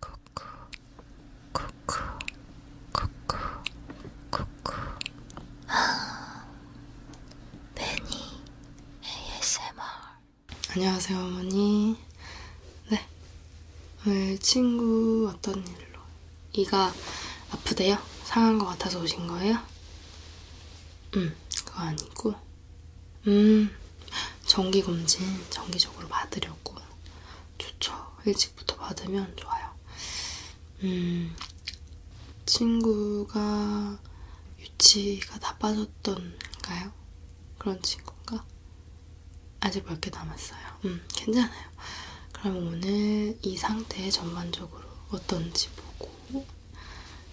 쿠쿠 쿠쿠 쿠쿠 쿠쿠 아 베니 ASMR 안녕하세요 어머니 네 오늘 친구 어떤 일로 이가 아프대요? 상한 것 같아서 오신 거예요? 음 그거 아니고 음 정기검진 정기적으로 받으려고. 좋죠. 일찍부터 받으면 좋아요. 음, 친구가 유치가 다 빠졌던가요? 그런 친구인가? 아직 몇 개 남았어요. 음, 괜찮아요. 그럼 오늘 이 상태 전반적으로 어떤지 보고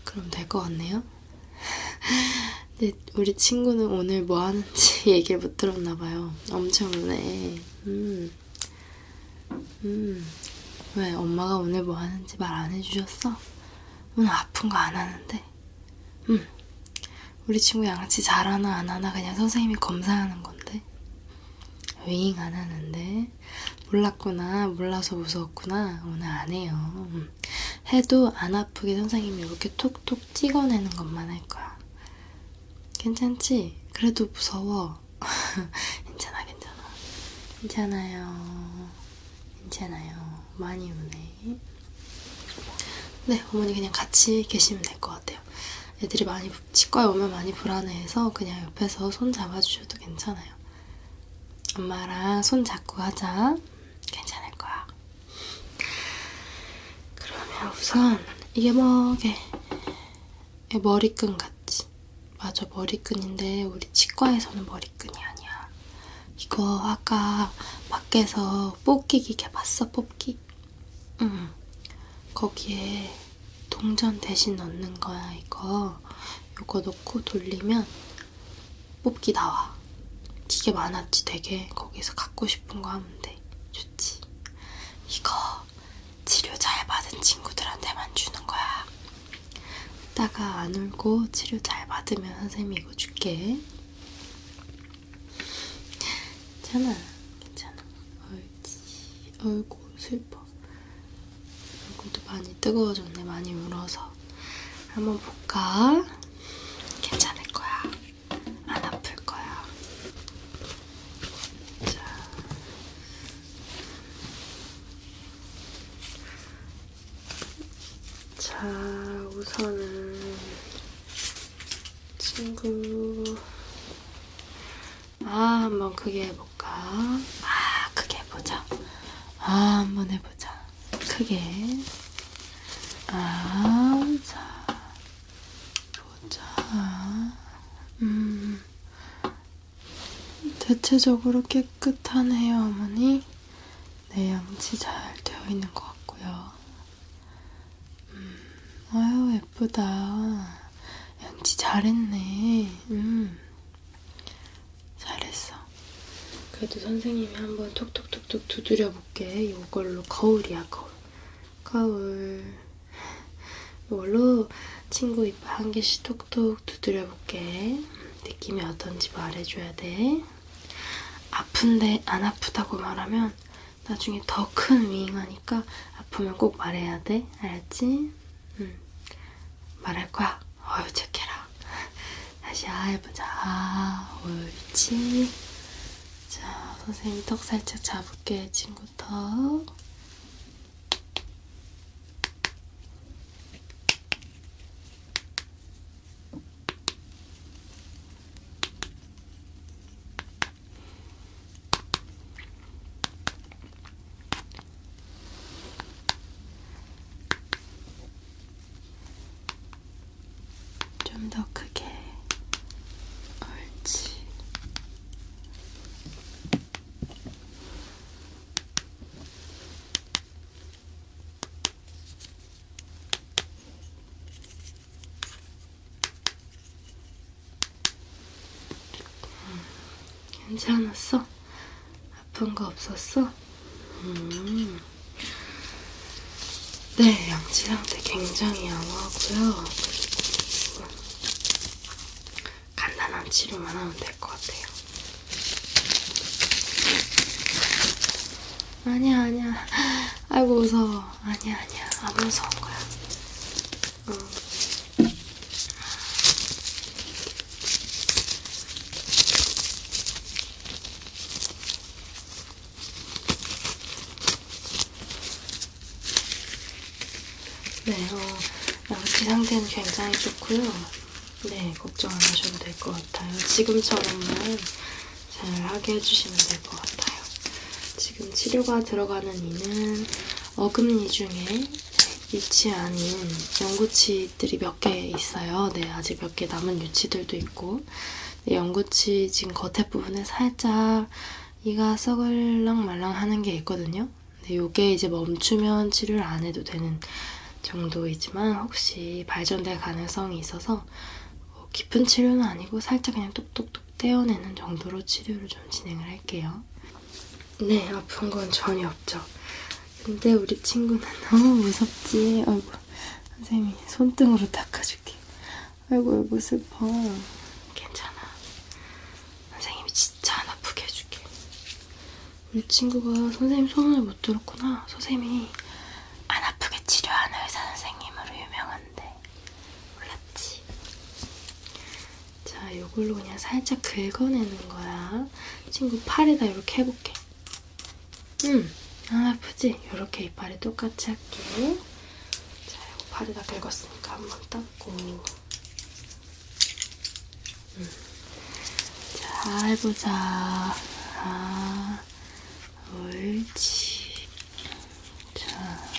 그럼 될 것 같네요. 근데 우리 친구는 오늘 뭐 하는지 얘기를 못 들었나봐요. 엄청 우네. 음. 음. 왜 엄마가 오늘 뭐 하는지 말 안 해주셨어? 오늘 아픈 거 안 하는데. 음. 우리 친구 양치 잘하나 안 하나 그냥 선생님이 검사하는 건데. 윙안 하는데. 몰랐구나. 몰라서 무서웠구나. 오늘 안 해요. 음. 해도 안 아프게 선생님이 이렇게 톡톡 톡 찍어내는 것만 할 거야. 괜찮지? 그래도 무서워. 괜찮아, 괜찮아. 괜찮아요. 괜찮아요. 많이 우네. 네, 어머니 그냥 같이 계시면 될 것 같아요. 애들이 많이, 치과에 오면 많이 불안해해서 그냥 옆에서 손 잡아주셔도 괜찮아요. 엄마랑 손 잡고 하자. 괜찮을 거야. 그러면 우선 이게 뭐게? 머리끈 같지? 맞아 머리끈인데 우리 치과에서는 머리끈이 아니야. 이거 아까 밖에서 뽑기 기계 봤어 뽑기? 응. 거기에 동전 대신 넣는 거야 이거. 이거 넣고 돌리면 뽑기 나와. 기계 많았지 되게 거기서 갖고 싶은 거 하면 돼 좋지 이거 치료 잘 받은 친구들한테만 주는 거야 이따가 안 울고 치료 잘 받으면 선생님이 이거 줄게 괜찮아 괜찮아 옳지 아이고 슬퍼 얼굴도 많이 뜨거워졌네 많이 울어서 한번 볼까? 괜찮을 거야 안 아플 거야. 자. 자, 우선은 친구. 아, 한번 크게 해볼까? 아, 크게 해보자. 아, 한번 해보자. 크게. 아, 자. 보자. 음. 대체적으로 깨끗하네요, 어머니. 네, 양치 잘 되어 있는 것 같고요. 음. 아유, 예쁘다. 양치 잘했네. 음. 잘했어. 그래도 선생님이 한번 톡톡톡톡 두드려 볼게. 이걸로 거울이야, 거울. 가을 이걸로 친구 입 한 개씩 톡톡 두드려 볼게. 느낌이 어떤지 말해줘야 돼. 아픈데 안 아프다고 말하면 나중에 더 큰 위잉하니까 아프면 꼭 말해야 돼. 알았지? 응. 말할 거야. 어휴, 착해라. 다시 아 해보자. 아, 옳지. 자, 선생님 턱 살짝 잡을게, 친구 턱. 좀더 크게 옳지 음, 괜찮았어? 아픈 거 없었어? 음. 네, 양치 상태 굉장히 양호하고요. 간단한 치료만 하면 될 것 같아요. 아니야, 아니야. 아이고, 무서워. 아니야, 아니야. 안 무서운 거야. 응. 음. 네, 어, 양치 어, 상태는 굉장히 좋고요. 네, 걱정 안 하셔도 될 것 같아요. 지금처럼만 잘 하게 해주시면 될 것 같아요. 지금 치료가 들어가는 이는 어금니 중에 유치 아닌 연구치들이 몇 개 있어요. 네, 아직 몇 개 남은 유치들도 있고 네, 연구치 지금 겉에 부분에 살짝 이가 썩을랑 말랑 하는 게 있거든요. 근데 이게 이제 멈추면 치료를 안 해도 되는 정도이지만 혹시 발전될 가능성이 있어서 뭐 깊은 치료는 아니고 살짝 그냥 뚝뚝뚝 떼어내는 정도로 치료를 좀 진행을 할게요. 네, 아픈 건 전혀 없죠. 근데 우리 친구는 너무 무섭지. 아이고, 선생님이 손등으로 닦아줄게. 아이고 여보 슬퍼. 괜찮아. 선생님이 진짜 안 아프게 해줄게. 우리 친구가 선생님 소문을 못 들었구나. 선생님이 안 아프게 치료하는 의사 선생님으로 유명한데. 몰랐지? 자, 요걸로 그냥 살짝 긁어내는 거야. 친구 팔에다 이렇게 해볼게. 응, 안 아프지? 이렇게 이빨에 똑같이 할게. 자, 이거 바지 다 긁었으니까 한번 닦고. 음. 잘 보자. 아, 옳지. 자.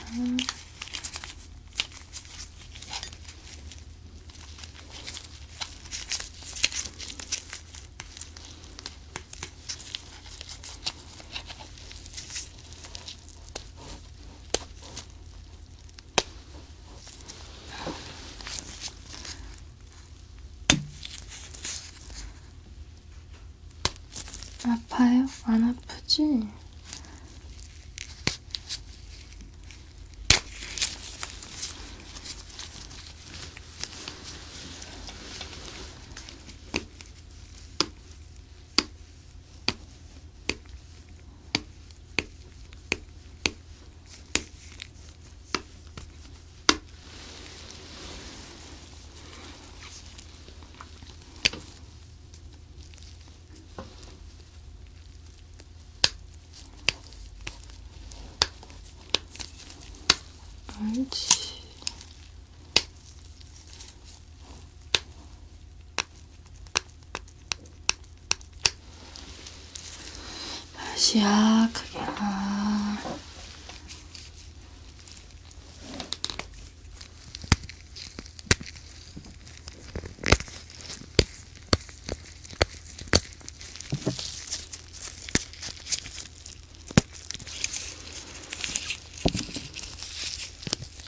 아파요? 안 아프지? 알지. 다시 약하게 아.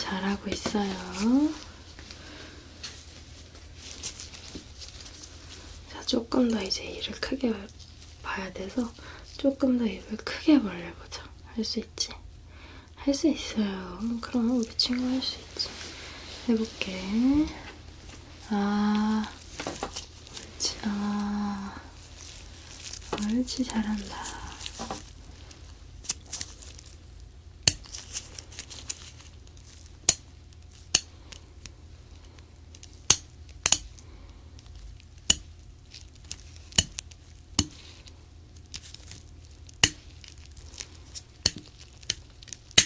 잘하고 있어요. 자, 조금 더 이제 이를 크게 봐야 돼서 조금 더 입을 크게 벌려보자. 할 수 있지? 할 수 있어요. 그럼 우리 친구 할 수 있어. 그렇지. 해볼게. 아, 옳지. 아, 옳지. 잘한다.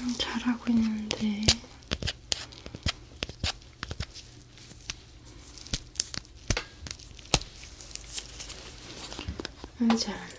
음, 잘하고 있는데 음, 잘한다.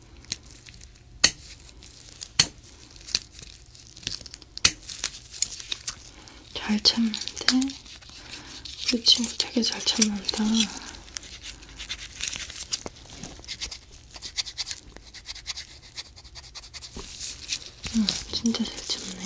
잘 참는데 그 친구 되게 잘 참는다. 응, 음, 진짜 잘 참네.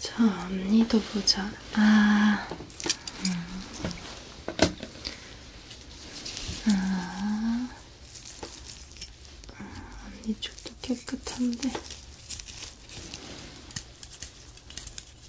자, 언니도 보자. 아, 음. 아, 언니 쪽도 깨끗한데.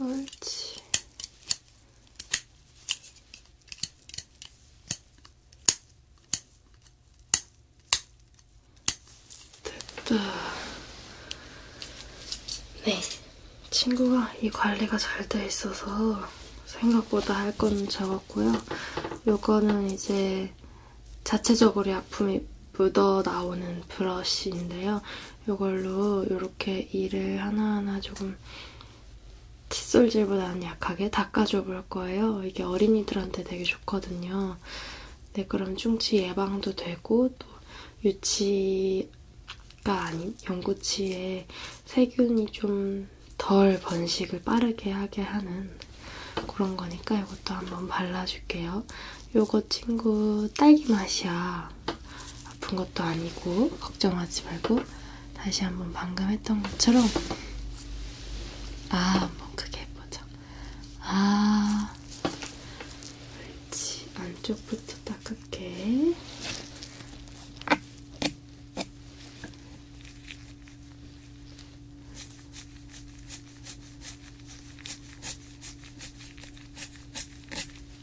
옳지. 됐다. 네. 친구가 이 관리가 잘 돼 있어서 생각보다 할 거는 적었고요. 요거는 이제 자체적으로 약품이 묻어 나오는 브러쉬인데요. 이걸로 이렇게 이를 하나하나 조금 칫솔질보다는 약하게 닦아줘 볼 거예요. 이게 어린이들한테 되게 좋거든요. 네, 그럼 충치 예방도 되고 또 유치가 아닌 연구치에 세균이 좀 덜 번식을 빠르게 하게 하는 그런 거니까 이것도 한번 발라줄게요. 요거 친구 딸기 맛이야. 아픈 것도 아니고 걱정하지 말고 다시 한번 방금 했던 것처럼 아, 한 번 크게 해보자. 아, 옳지. 안쪽부터 닦을게.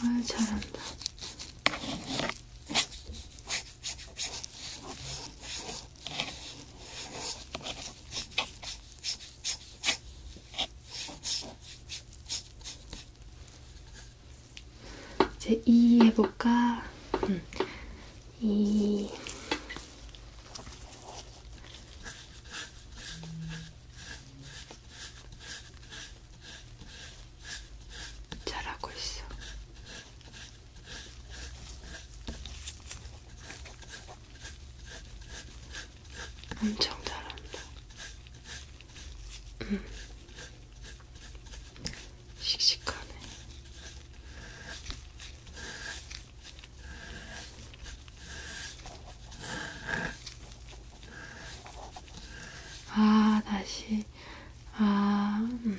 아 잘한다. 이제 2 해볼까? 음. 2 잘하고 있어. 엄청 잘한다. 음. 씩씩하네. 아, 다시. 아, 음.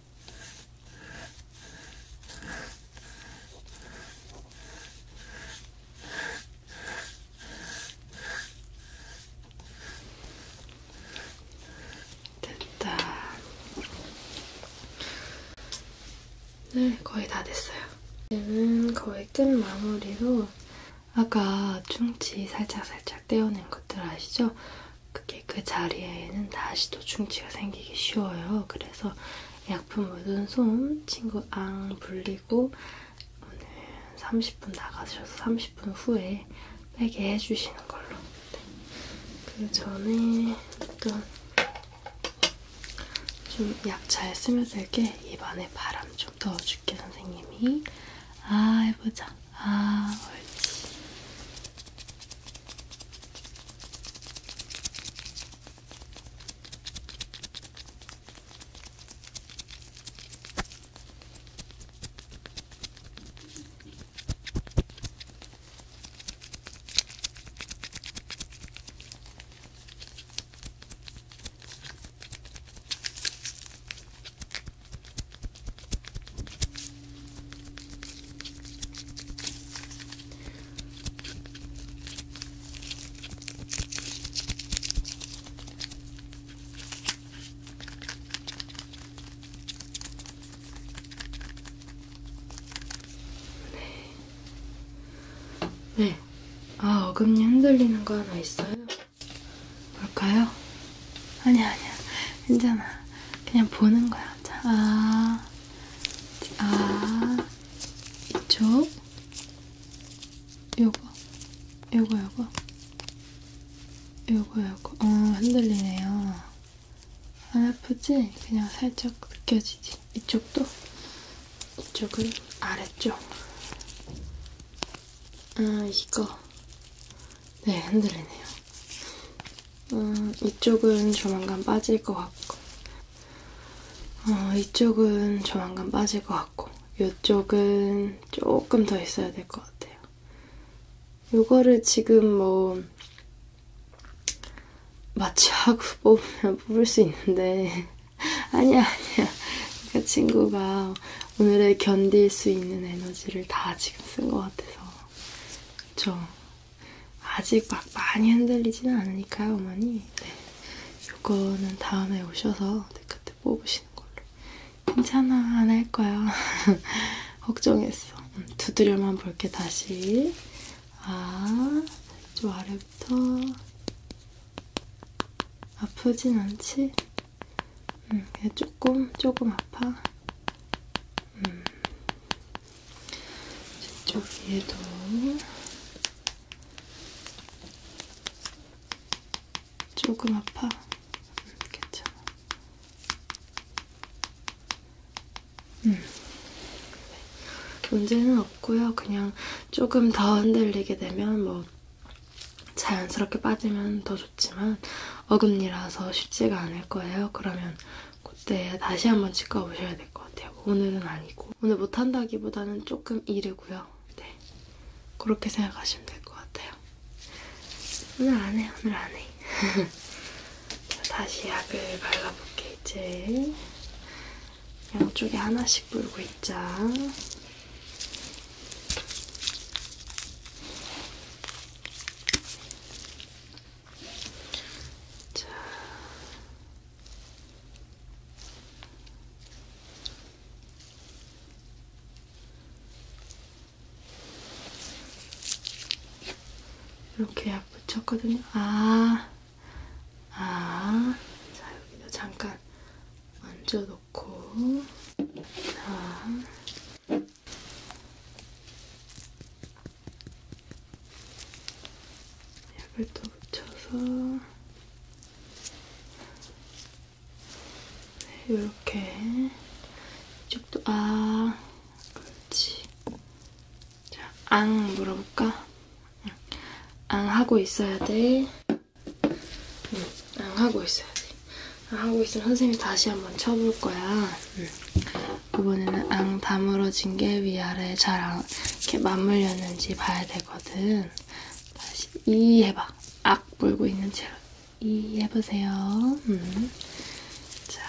됐다. 네, 거의 다 됐어요. 이제는 거의 끝 마무리로 아까 충치 살짝살짝 떼어낸 것들 아시죠? 그게 그 자리에는 다시 또 충치가 생기기 쉬워요. 그래서 약품 묻은 손 친구 앙 불리고 오늘 30분 나가셔서 30분 후에 빼게 해주시는 걸로. 네. 그 전에 일단 좀약 잘 스며들게 입안에 바람 좀 넣어줄게 선생님이. 아 해보자. 아, 옳지. 네. 네. 아, 어금니 흔들리는 거 하나 있어요? 볼까요? 아니야, 아니야. 괜찮아. 그냥 보는 거야. 자, 아, 아, 이쪽. 요거, 요거, 요거. 요거, 요거. 어, 흔들리네요. 안 아프지? 그냥 살짝 느껴지지. 이쪽도? 이쪽은 아래쪽. 아, 이거. 네, 흔들리네요. 음, 이쪽은 조만간 빠질 것 같고, 어, 이쪽은 조만간 빠질 것 같고, 이쪽은 조금 더 있어야 될 것 같아요. 요거를 지금 뭐 마취하고 뽑으면 뽑을 수 있는데 아니야 아니야 그 친구가 오늘의 견딜 수 있는 에너지를 다 지금 쓴 것 같아서 그쵸. 아직 막 많이 흔들리지는 않으니까요, 어머니. 네. 요거는 다음에 오셔서 그때 뽑으시는 걸로. 괜찮아, 안 할 거야. 걱정했어. 음, 두드려만 볼게, 다시. 아, 저 아래부터. 아프진 않지? 응, 음, 조금, 조금 아파. 음. 이쪽 위에도 조금 아파? 음, 괜찮아. 음. 문제는 없고요. 그냥 조금 더 흔들리게 되면 뭐 자연스럽게 빠지면 더 좋지만 어금니라서 쉽지가 않을 거예요. 그러면 그때 다시 한번 치과 오셔야 될 것 같아요. 오늘은 아니고 오늘 못한다기보다는 조금 이르고요. 네, 그렇게 생각하시면 될 것 같아요. 오늘 안 해, 오늘 안 해. 다시 약을 발라볼게 이제 양쪽에 하나씩 물고 있자. 자. 이렇게 약 붙였거든요. 아, 아, 자 여기도 잠깐 얹어놓고, 자, 약을 또 묻혀서 네, 이렇게 이쪽도 아 그렇지 자앙 물어볼까? 앙 하고 있어야 돼. 응, 앙 하고 있어야 돼. 앙 하고 있으면 선생님이 다시 한번 쳐볼 거야. 응. 부분에는 앙 다물어진 게 위아래 잘 안, 이렇게 맞물렸는지 봐야 되거든. 다시 이 해봐. 악 물고 있는 채로 이 해보세요. 음. 자.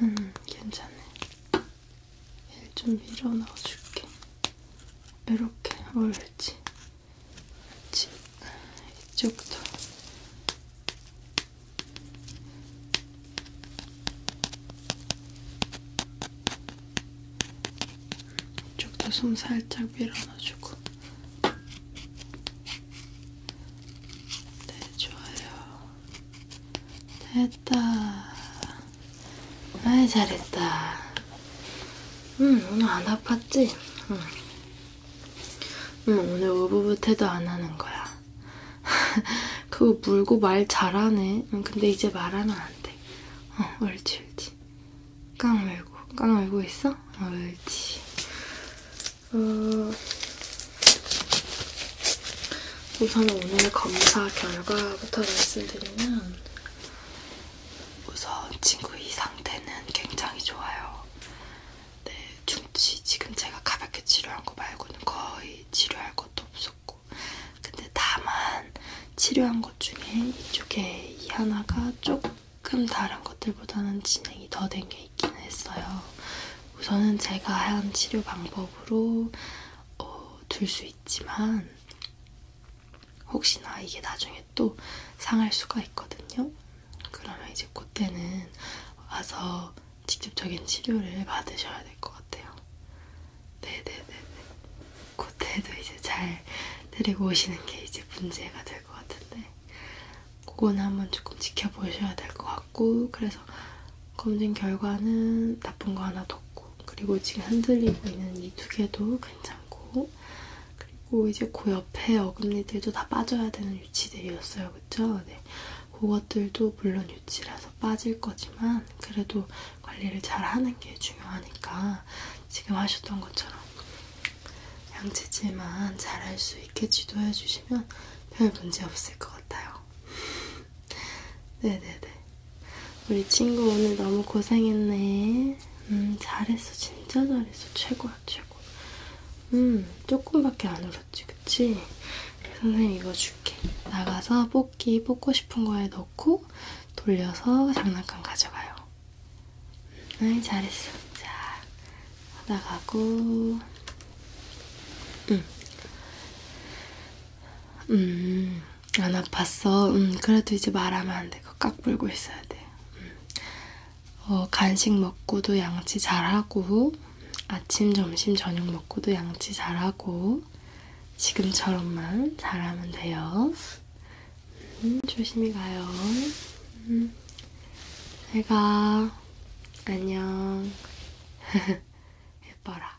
음, 괜찮네. 얘좀 밀어 넣어줄게. 이렇게 옳지. 옳지. 이쪽도. 이쪽도 숨 살짝 밀어 넣어주고. 네, 좋아요. 됐다. 아이 잘했다. 응 오늘 안 아팠지? 응. 응 오늘 우부부태도 안 하는 거야. 그거 물고 말 잘하네. 응 근데 이제 말하면 안 돼. 어 옳지 옳지. 깡 물고 깡 물고 있어? 옳지. 어... 우선 오늘 검사 결과부터 말씀드리면 우선 친구 이 상태는 굉장히 좋아요. 네, 충치 지금 제가 가볍게 치료한 거 말고는 거의 치료할 것도 없었고, 근데 다만 치료한 것 중에 이쪽에 이 하나가 조금 다른 것들보다는 진행이 더 된 게 있기는 했어요. 우선은 제가 한 치료 방법으로 어, 둘수 있지만 혹시나 이게 나중에 또 상할 수가 있거든요. 그러면 이제 그때는 와서 직접적인 치료를 받으셔야 될 것 같아요. 네네네네. 그때도 이제 잘 데리고 오시는 게 이제 문제가 될 것 같은데 그거는 한번 조금 지켜보셔야 될 것 같고 그래서 검진 결과는 나쁜 거 하나도 없고 괜찮고, 그리고 지금 흔들리고 있는 이 두 개도 괜찮고, 그리고 이제 그 옆에 어금니들도 다 빠져야 되는 유치들이었어요. 그쵸? 네. 그것들도 물론 유치라서 빠질 거지만, 그래도 관리를 잘 하는 게 중요하니까, 지금 하셨던 것처럼 양치질만 잘 할 수 있게 지도해 주시면 별 문제 없을 것 같아요. 네네네. 네, 네. 우리 친구 오늘 너무 고생했네. 음, 잘했어. 진짜 잘했어. 최고야, 최고. 음, 조금밖에 안 울었지, 그치? 선생님 이거 줄게. 나가서 뽑기 뽑고 싶은 거에 넣고 돌려서 장난감 가져가요. 응, 음, 잘했어. 자, 나가고. 응. 음. 음. 안 아팠어. 음, 그래도 이제 말하면 안 돼. 그거 깍불고 있어야 돼. 음. 어, 간식 먹고도 양치 잘하고, 아침, 점심, 저녁 먹고도 양치 잘하고, 지금처럼만 잘하면 돼요. 음, 조심히 가요. 음. 내가 안녕. 예뻐라.